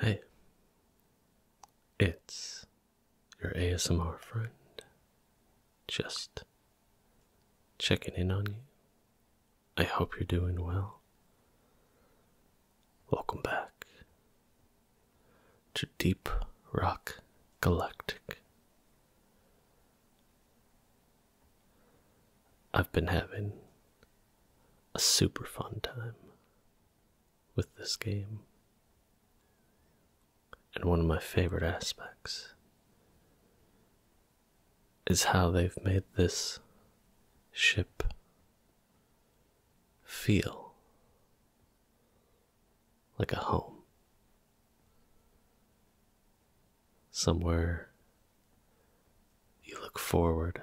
Hey, it's your ASMR friend. Just checking in on you. I hope you're doing well. Welcome back to Deep Rock Galactic. I've been having a super fun time with this game. And one of my favorite aspects is how they've made this ship feel like a home somewhere you look forward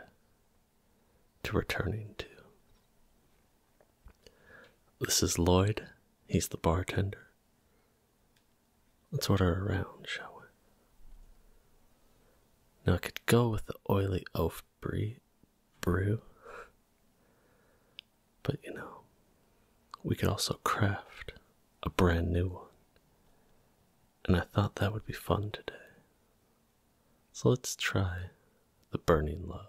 to returning to. This is Lloyd, he's the bartender. Let's order around, shall we? Now I could go with the oily oaf brew, but you know, we could also craft a brand new one and I thought that would be fun today. So let's try the burning love.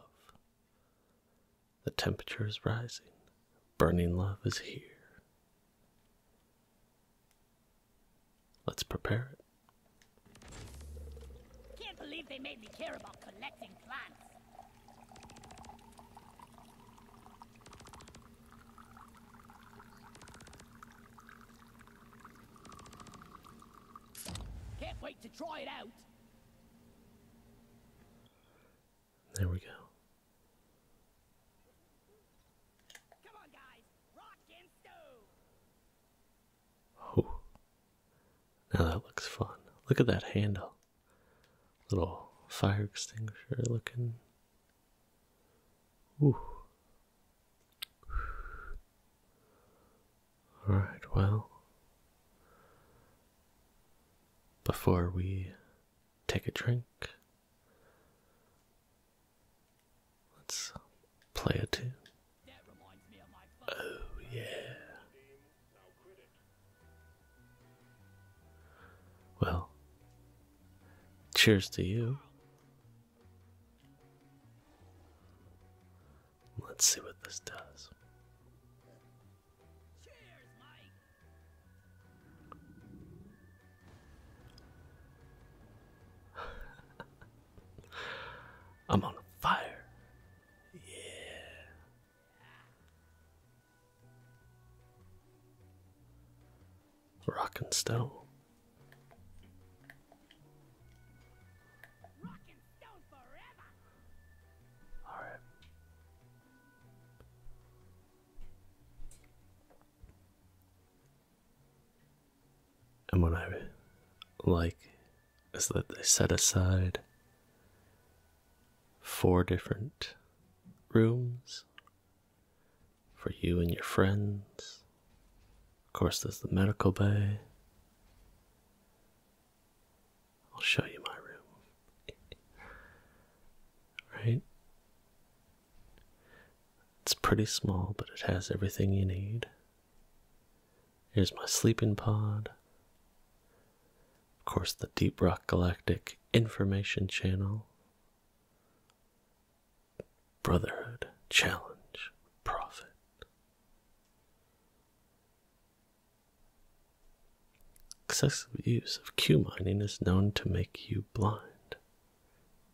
The temperature is rising. Burning love is here. Let's prepare it. Can't believe they made me care about collecting plants. Can't wait to try it out. There we go. Now that looks fun. Look at that handle. Little fire extinguisher looking all right, well, before we take a drink, let's play a tune. Oh, yeah. Well, cheers to you Let's see what this does. I'm on fire. Yeah. Rock and stone. All right. And what I like is that they set aside four different rooms for you and your friends. Of course, there's the medical bay. I'll show you my room. right? It's pretty small, but it has everything you need. Here's my sleeping pod. Of course, the Deep Rock Galactic Information Channel brotherhood, challenge, profit. Excessive use of Q mining is known to make you blind,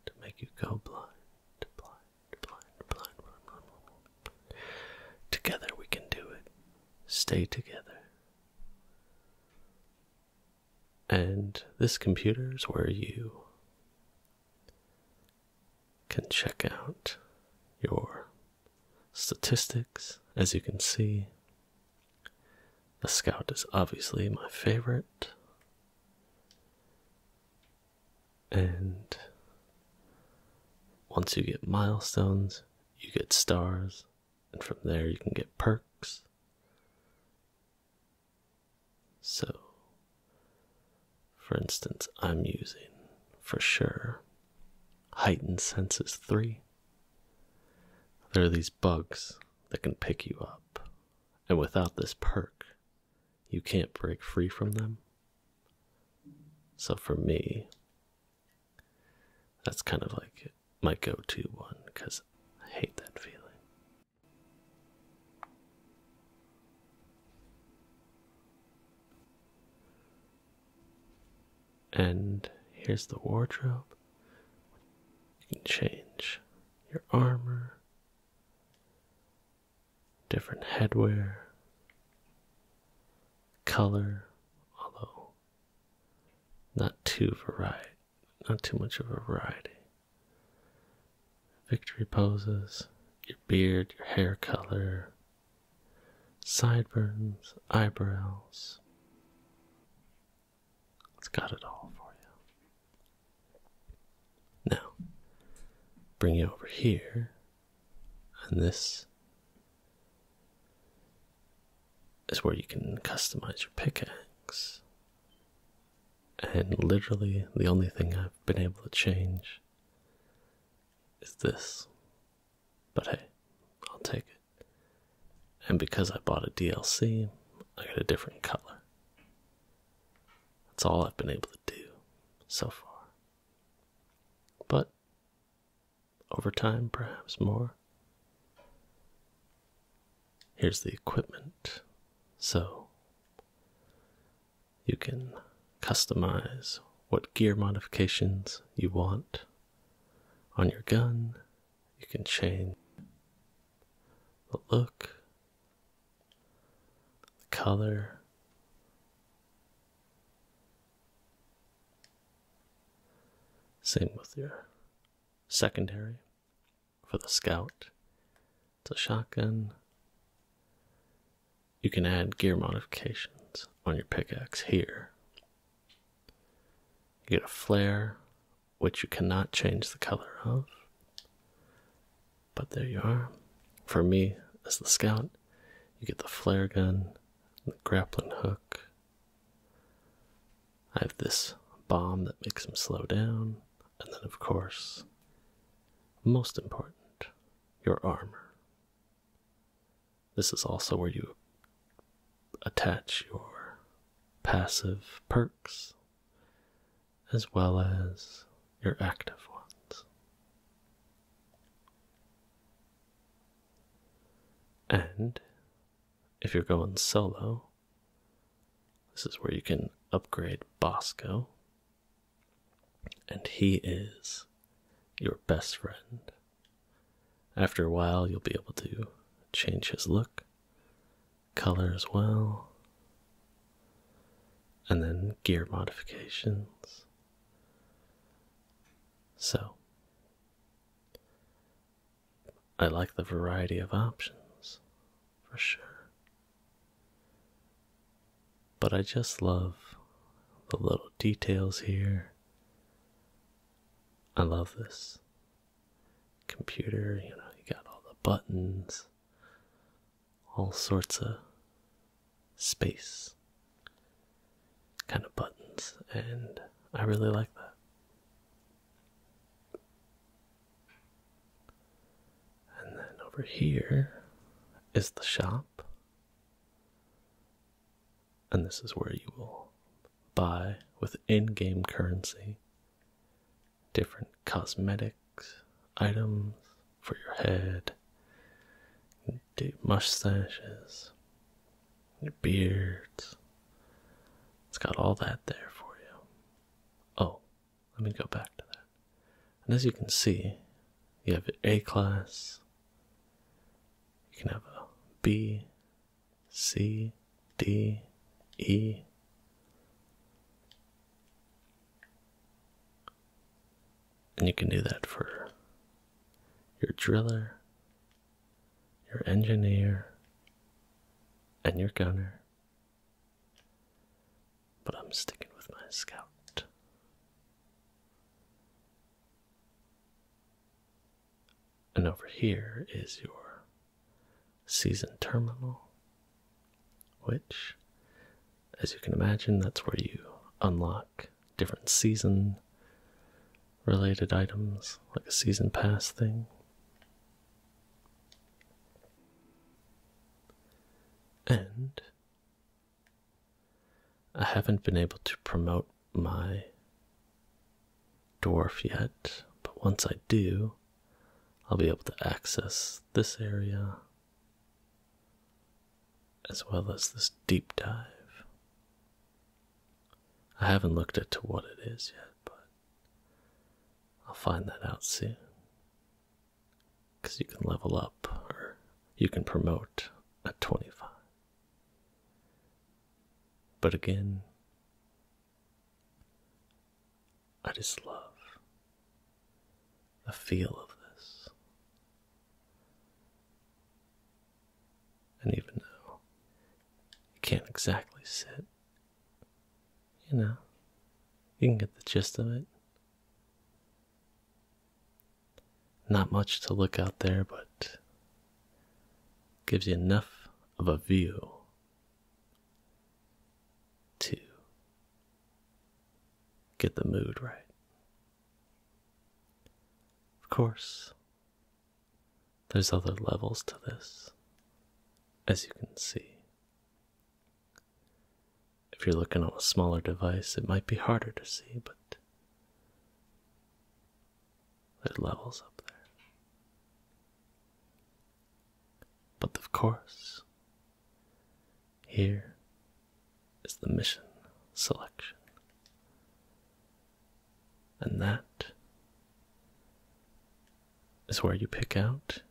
to make you go blind, blind, blind, blind. Together we can do it. Stay together. And this computer is where you can check out your statistics. As you can see, the scout is obviously my favorite. And once you get milestones, you get stars, and from there you can get perks. So, for instance, I'm using for sure heightened senses 3. There are these bugs that can pick you up, and without this perk, you can't break free from them. So, for me, that's kind of like my go to one because I hate that feeling. And here's the wardrobe. You can change your armor, different headwear, color, although not too varied not too much of a variety. Victory poses, your beard, your hair color, sideburns, eyebrows. It's got it all for you. Now, bring you over here, and this is where you can customize your pickaxe and literally the only thing I've been able to change is this. But hey, I'll take it. And because I bought a DLC, I got a different color. That's all I've been able to do so far. But over time, perhaps more. Here's the equipment. So you can customize what gear modifications you want on your gun. You can change the look, the color. Same with your secondary for the scout. It's a shotgun. You can add gear modifications on your pickaxe here. You get a flare, which you cannot change the color of. But there you are. For me, as the scout, you get the flare gun, the grappling hook. I have this bomb that makes him slow down. And then, of course, most important, your armor. This is also where you attach your passive perks as well as your active ones. And if you're going solo, this is where you can upgrade Bosco, and he is your best friend. After a while, you'll be able to change his look, colors, as well, and then gear modifications. So, I like the variety of options for sure. But I just love the little details here. I love this computer, you know, you got all the buttons, all sorts of space kind of buttons, and I really like that. And then over here is the shop. And this is where you will buy with in game currency different cosmetics, items for your head, mustaches, your beards. It's got all that there for you. Oh, let me go back to that. And as you can see, you have A class, you can have a B, C, D, E. And you can do that for your driller, your engineer, and your gunner. But I'm sticking with my scout. And over here is your season terminal, which, as you can imagine, that's where you unlock different season related items, like a season pass thing. And I haven't been able to promote my dwarf yet, but once I do, I'll be able to access this area as well as this deep dive. I haven't looked into what it is yet, but I'll find that out soon because you can level up or you can promote at 25. But again, I just love the feel of this. And even though you can't exactly sit you know, you can get the gist of it. Not much to look out there, but gives you enough of a view to get the mood right. Of course, there's other levels to this, as you can see. If you're looking on a smaller device, it might be harder to see, but there's levels up there. But of course, here is the mission selection. And that is where you pick out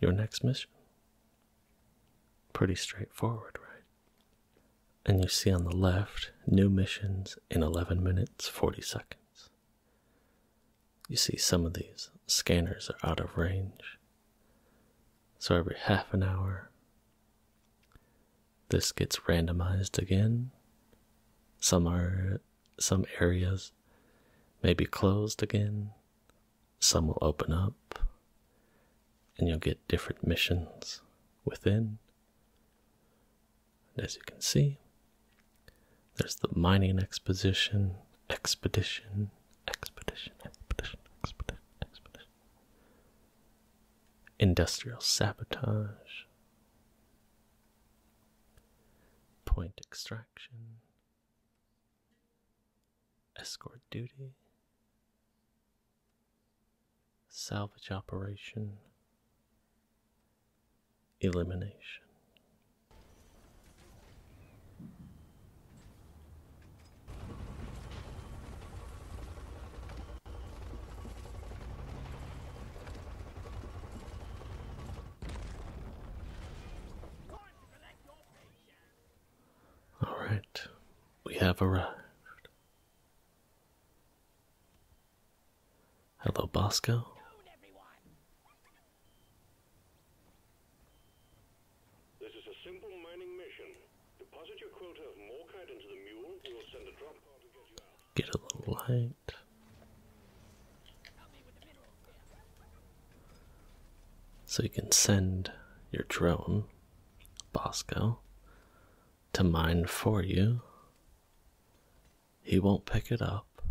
your next mission. Pretty straightforward, right? And you see on the left new missions in 11 minutes 40 seconds. You see some of these scanners are out of range. So every half an hour, this gets randomized again. Some are some areas may be closed again, some will open up, and you'll get different missions within. And as you can see, there's the mining exposition, expedition, expedition, expedition, expedition, expedition, industrial sabotage, point extraction, escort duty, salvage operation, elimination. All right, we have arrived. Hello, Bosco. This is a simple mining mission. Deposit your quota of Morkite into the mule. We'll send a drop car to get you out. Get a little light. So you can send your drone, Bosco, to mine for you. He won't pick it up,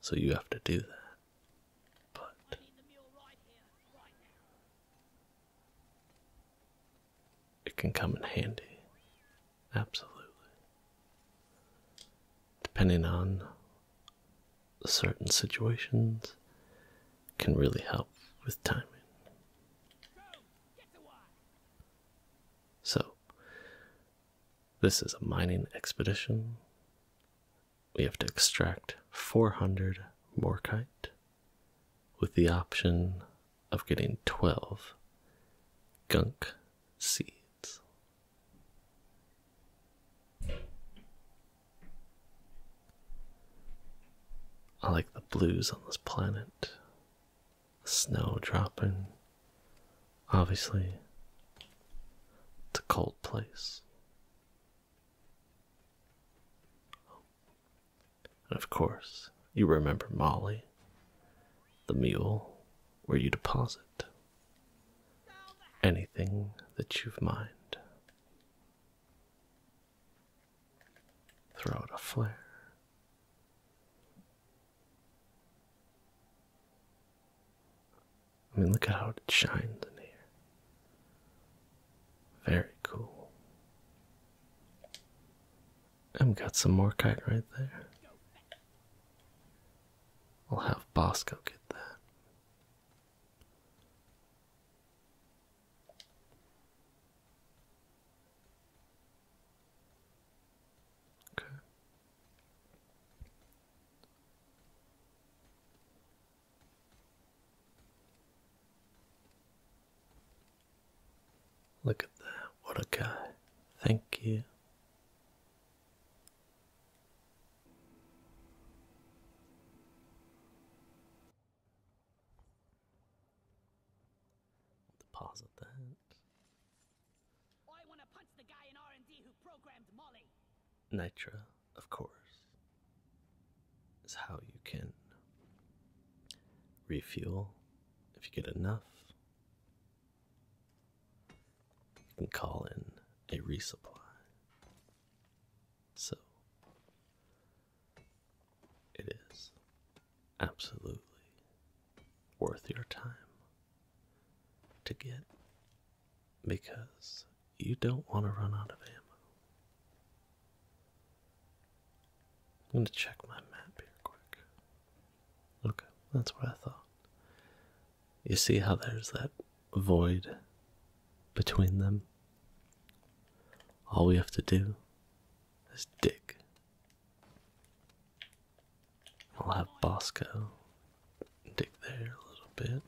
so you have to do that. But. It can come in handy. Absolutely. Depending on certain situations can really help with timing. So, this is a mining expedition. We have to extract 400 morkite with the option of getting 12 gunk seeds. I like the blues on this planet. The snow dropping. Obviously, it's a cold place. And of course, you remember Molly, the mule where you deposit anything that you've mined. Throw out a flare. I mean, look at how it shines in here. Very cool. I've got some more kite right there. I'll have Bosco get that. Okay. Look at that. What a guy. Thank you deposit that. I Nitra, of course, is how you can refuel if you get enough. You can call in a resupply. So it is absolutely worth your time to get because you don't want to run out of ammo. I'm going to check my map here quick. Okay, that's what I thought. You see how there's that void between them? All we have to do is dig. I'll have Bosco dig there a little bit.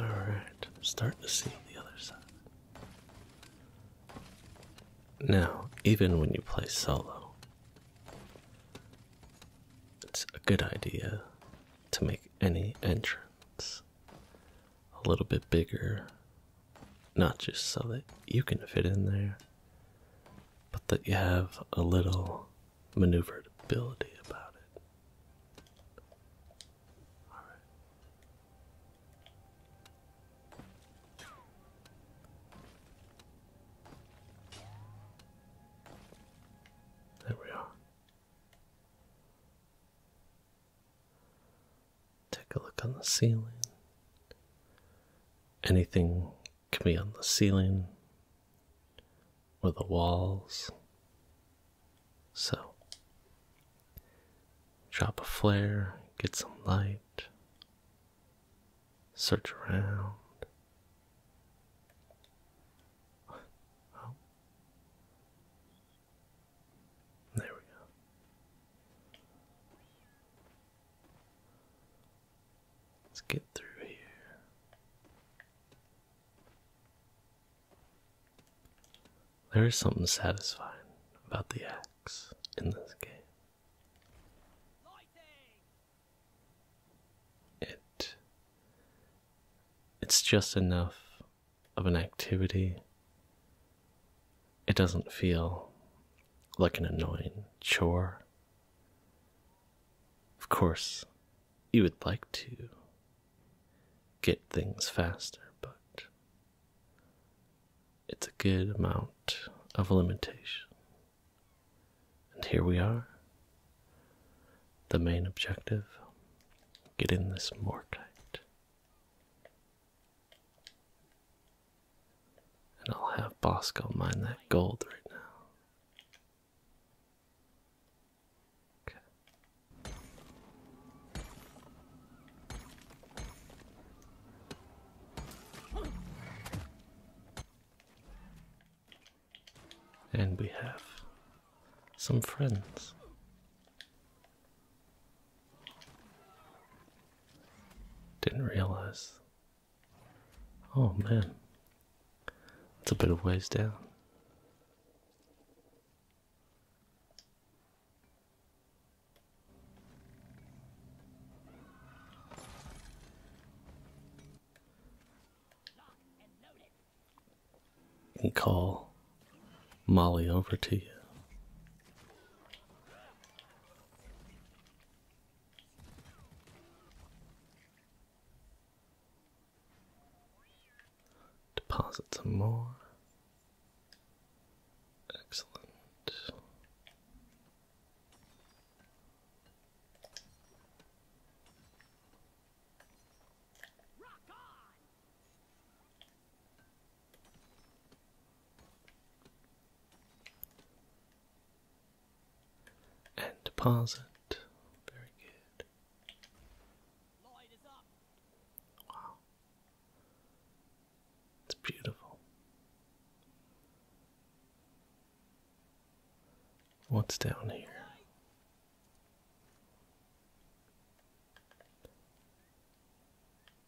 All right, start to see the other side. Now, even when you play solo, it's a good idea to make any entrance a little bit bigger, not just so that you can fit in there, but that you have a little maneuverability about it. There we are. Take a look on the ceiling. Anything can be on the ceiling or the walls. So, drop a flare, get some light, search around. There we go. Let's get through here. There is something satisfying about the axe in this game. It it's just enough of an activity it doesn't feel like an annoying chore. Of course, you would like to get things faster, but it's a good amount of limitation. And here we are. The main objective get in this mortite. And I'll have Bosco mine that gold right now. Okay. And we have some friends. Didn't realize. Oh man, it's a bit of ways down. And call Molly over to you. Deposit some more. Excellent. And pause it. Very good. Wow. It's beautiful. What's down here?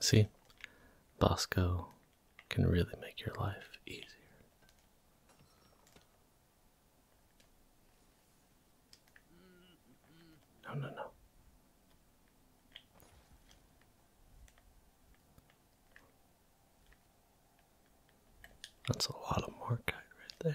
See, Bosco can really make your life easier. No, no, no. That's a lot of more right there.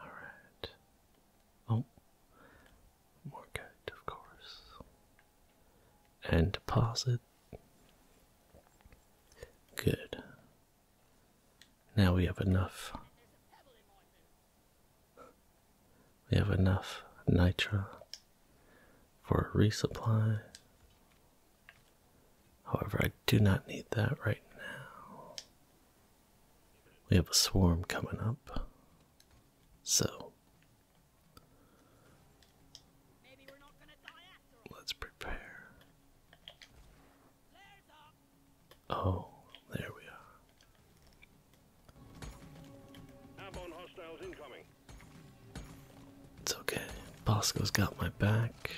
Alright. Oh. More good, of course. And deposit. Good. Now we have enough. We have enough nitra for a resupply. However, I do not need that right now. We have a swarm coming up. So, let's prepare. Oh, there we are. It's okay. Bosco's got my back.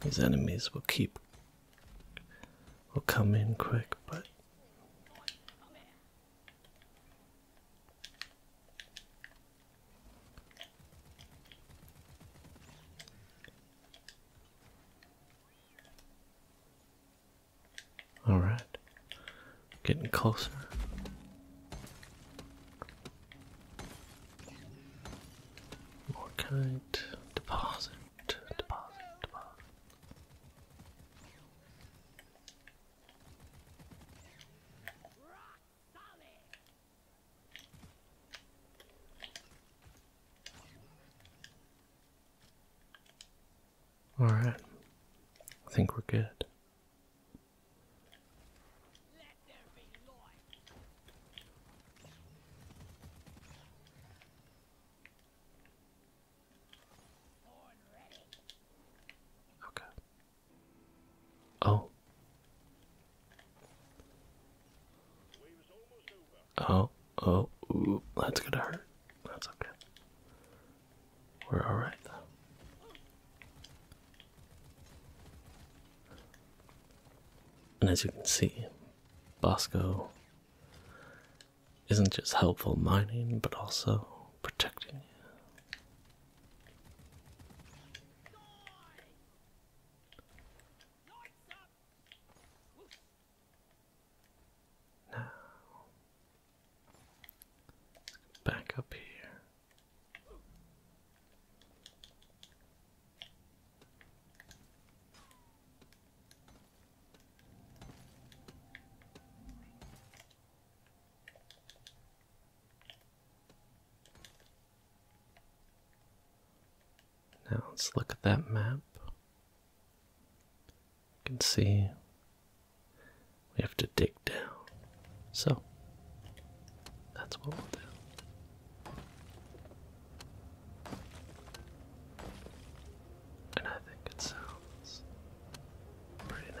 These enemies will keep will come in quick, but all right, getting closer. More kite. Deposit. Deposit. Deposit. All right. I think we're good. Okay. Oh. Oh, oh, that's gonna hurt. That's okay. We're alright and as you can see, Bosco isn't just helpful mining but also protecting you. Now, back up here. Now let's look at that map. You can see we have to dig so, that's what we'll do. And I think it sounds pretty nice.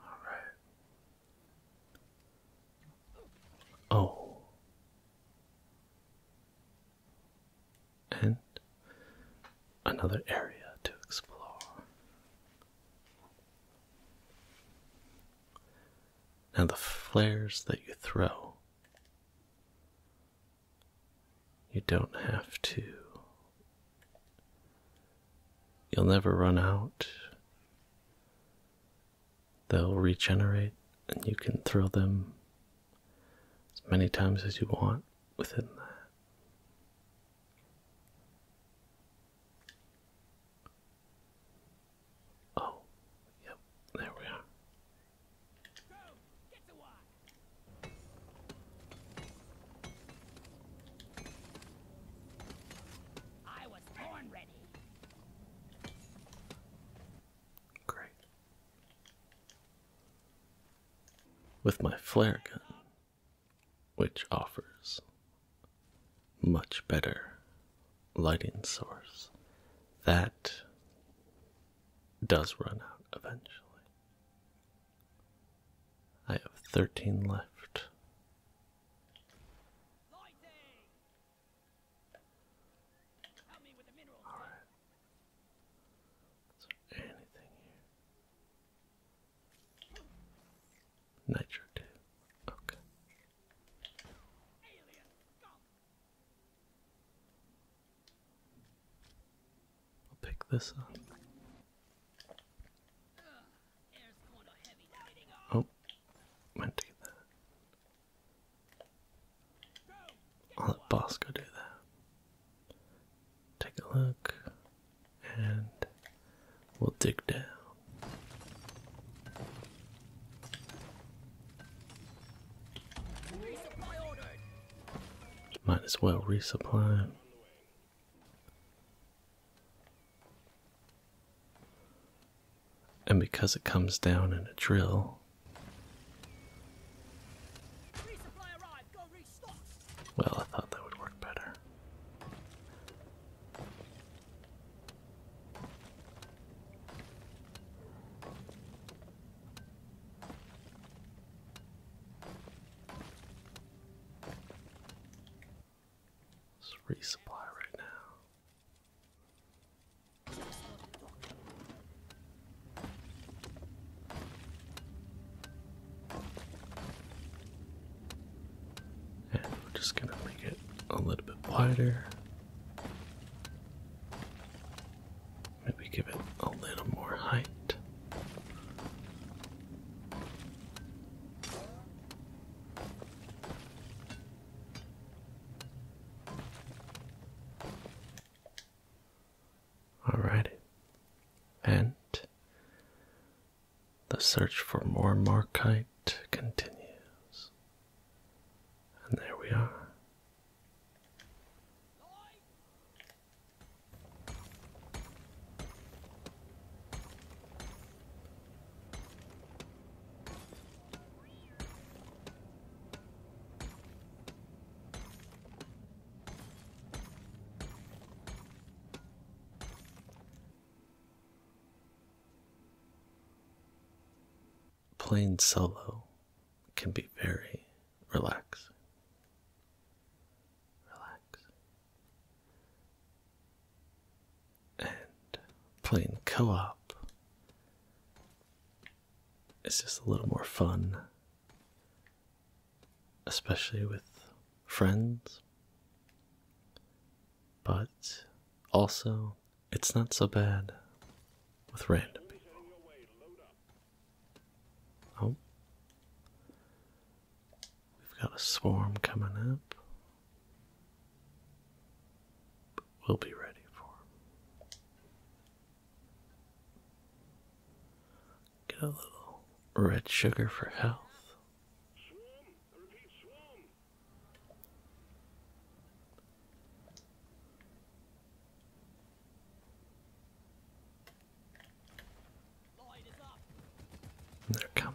Alright. Oh. And another area to explore. Now, the flares that you throw, you don't have to You'll never run out. They'll regenerate, and you can throw them as many times as you want within that. Oh, yep, there we are. Great. With my flare gun, which offers much better lighting source, that does run out eventually. I have 13 left. All right. anything here? Nitro Okay. I'll pick this up. Oh, meant to get that. I'll let boss do that. Take a look, and we'll dig down. Might as well resupply. And because it comes down in a drill, well, I thought that would work better. Let's resupply right now. And we're just gonna make it a little bit wider. Maybe give it a little more height. All right. And the search for more Markite continues. And there we are. Playing solo can be very relaxing. Relax. And playing co op is just a little more fun, especially with friends. But also, it's not so bad with random people. Oh. We've got a swarm coming up. we'll be ready for Get a little red sugar for health. They're coming.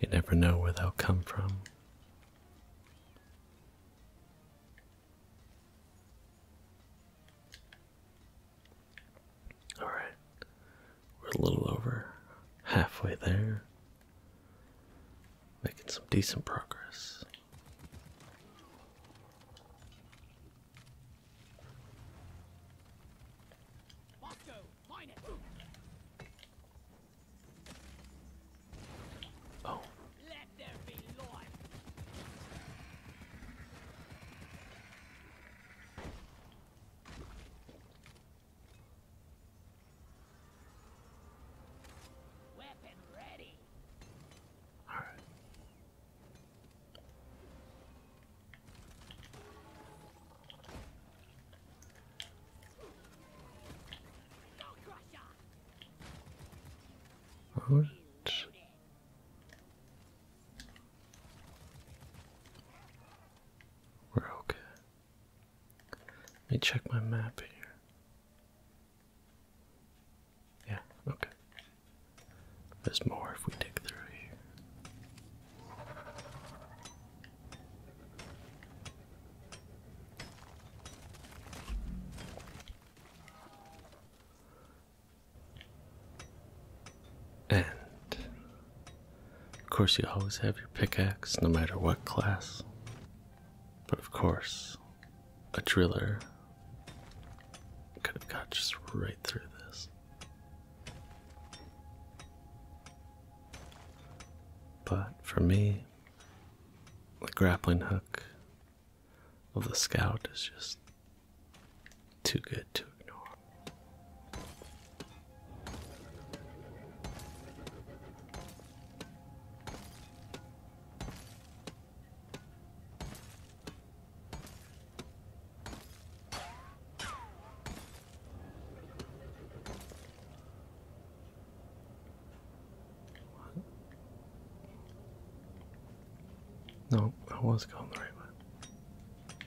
You never know where they'll come from. All right. We're a little over halfway there. Making some decent progress. Oh. Weapon ready. All right. All right. We're okay. Let me check my map here. Yeah, okay. There's more if we dig through here. And of course, you always have your pickaxe no matter what class. But of course, a driller could have got just right through this. But for me, the grappling hook of the scout is just too good to ignore. No, I was going the right way.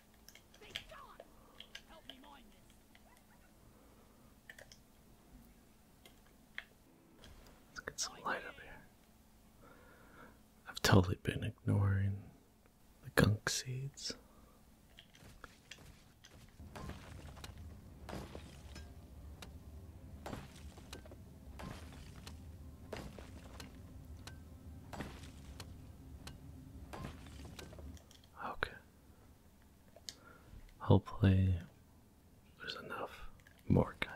Let's get some light up here. I've totally been ignoring the gunk seeds. Okay. Hopefully, there's enough more kite.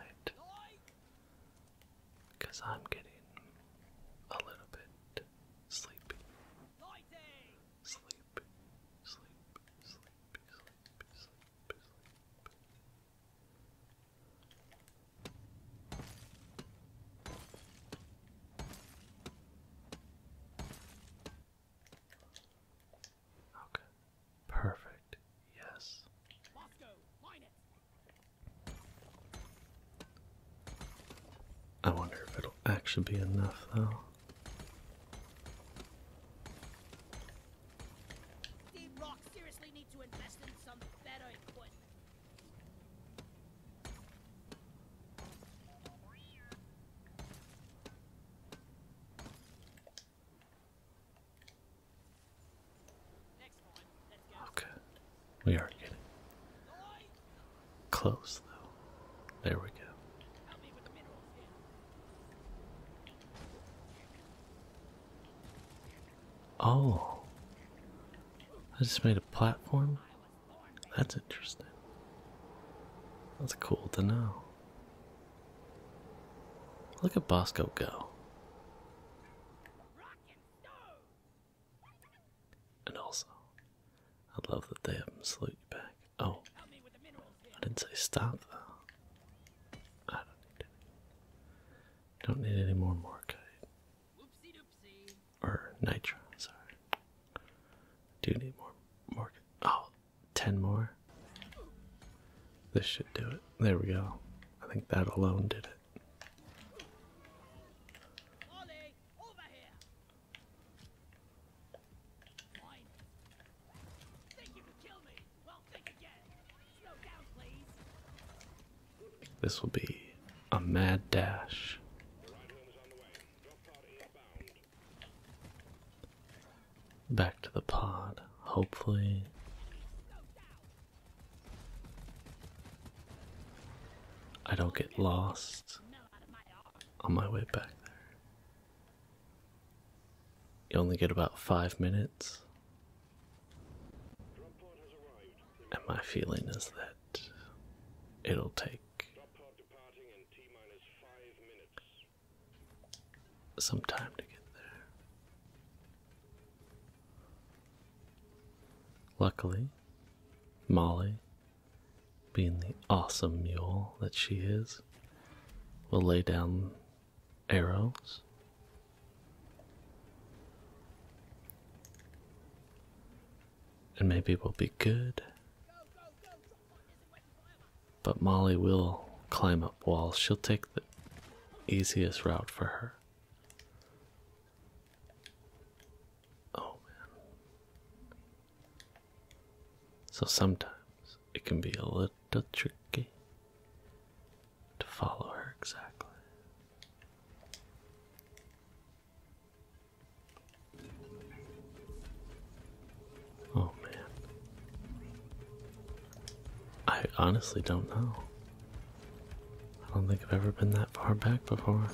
Because I'm getting a little bit sleepy. Sleepy, sleepy, sleepy, sleepy, sleepy, sleepy. Okay. Perfect. Yes. I wonder if it'll actually be enough, though. The Rock seriously need to invest in some better equipment. Okay, we are getting close though. There we go. Oh, I just made a platform that's interesting. That's cool to know. Look at Bosco go. And also, I love that they haven't salute you back. Oh, I didn't say stop though. I don't need any. Don't need any more Morkite or Nitro, sorry. Do need more, more, oh, 10 more. This should do it. There we go. I think that alone did it. This will be a mad dash. Back to the pod, hopefully. I don't get lost on my way back there. You only get about five minutes. And my feeling is that it'll take some time to get there. Luckily, Molly, being the awesome mule that she is, will lay down arrows and maybe we'll be good. But Molly will climb up walls. She'll take the easiest route for her. Oh man. So sometimes it can be a little tricky to follow her exactly. Oh man. I honestly don't know. I don't think I've ever been that far back before.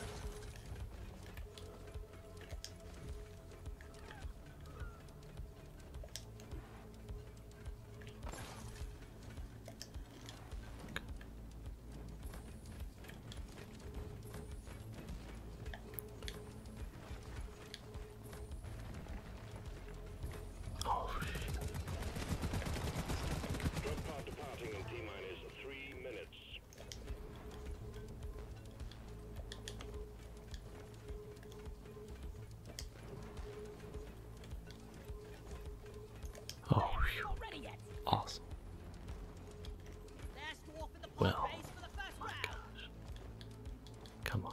Oh shit. pod departing in T minus three minutes. Oh, Awesome. Well, Come on.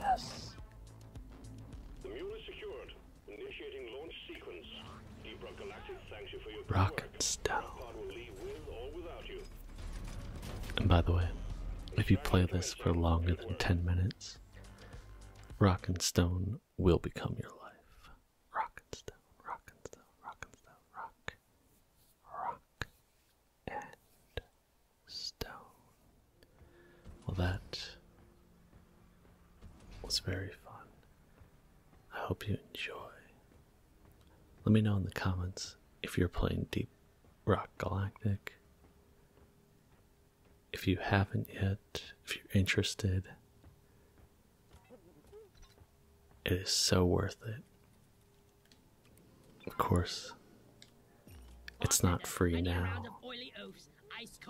Yes. The mule is secured. Initiating launch sequence. Deep Galactic thanks you for your Rock and and by the way, if you play this for longer than 10 minutes, Rock and Stone will become your life. Rock and Stone, Rock and Stone, Rock and Stone, Rock, Rock and Stone. Well, that was very fun. I hope you enjoy. Let me know in the comments if you're playing Deep Rock Galactic. If you haven't yet, if you're interested, it is so worth it. Of course, it's not free now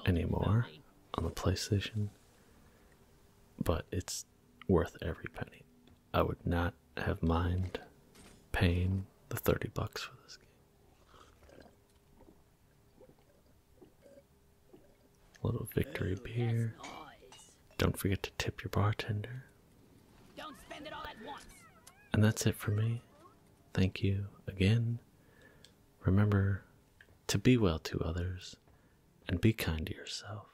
anymore on the PlayStation, but it's worth every penny. I would not have mind paying the 30 bucks for this game. little victory Ooh, beer. Don't forget to tip your bartender. Don't spend it all at once. And that's it for me. Thank you again. Remember to be well to others and be kind to yourself.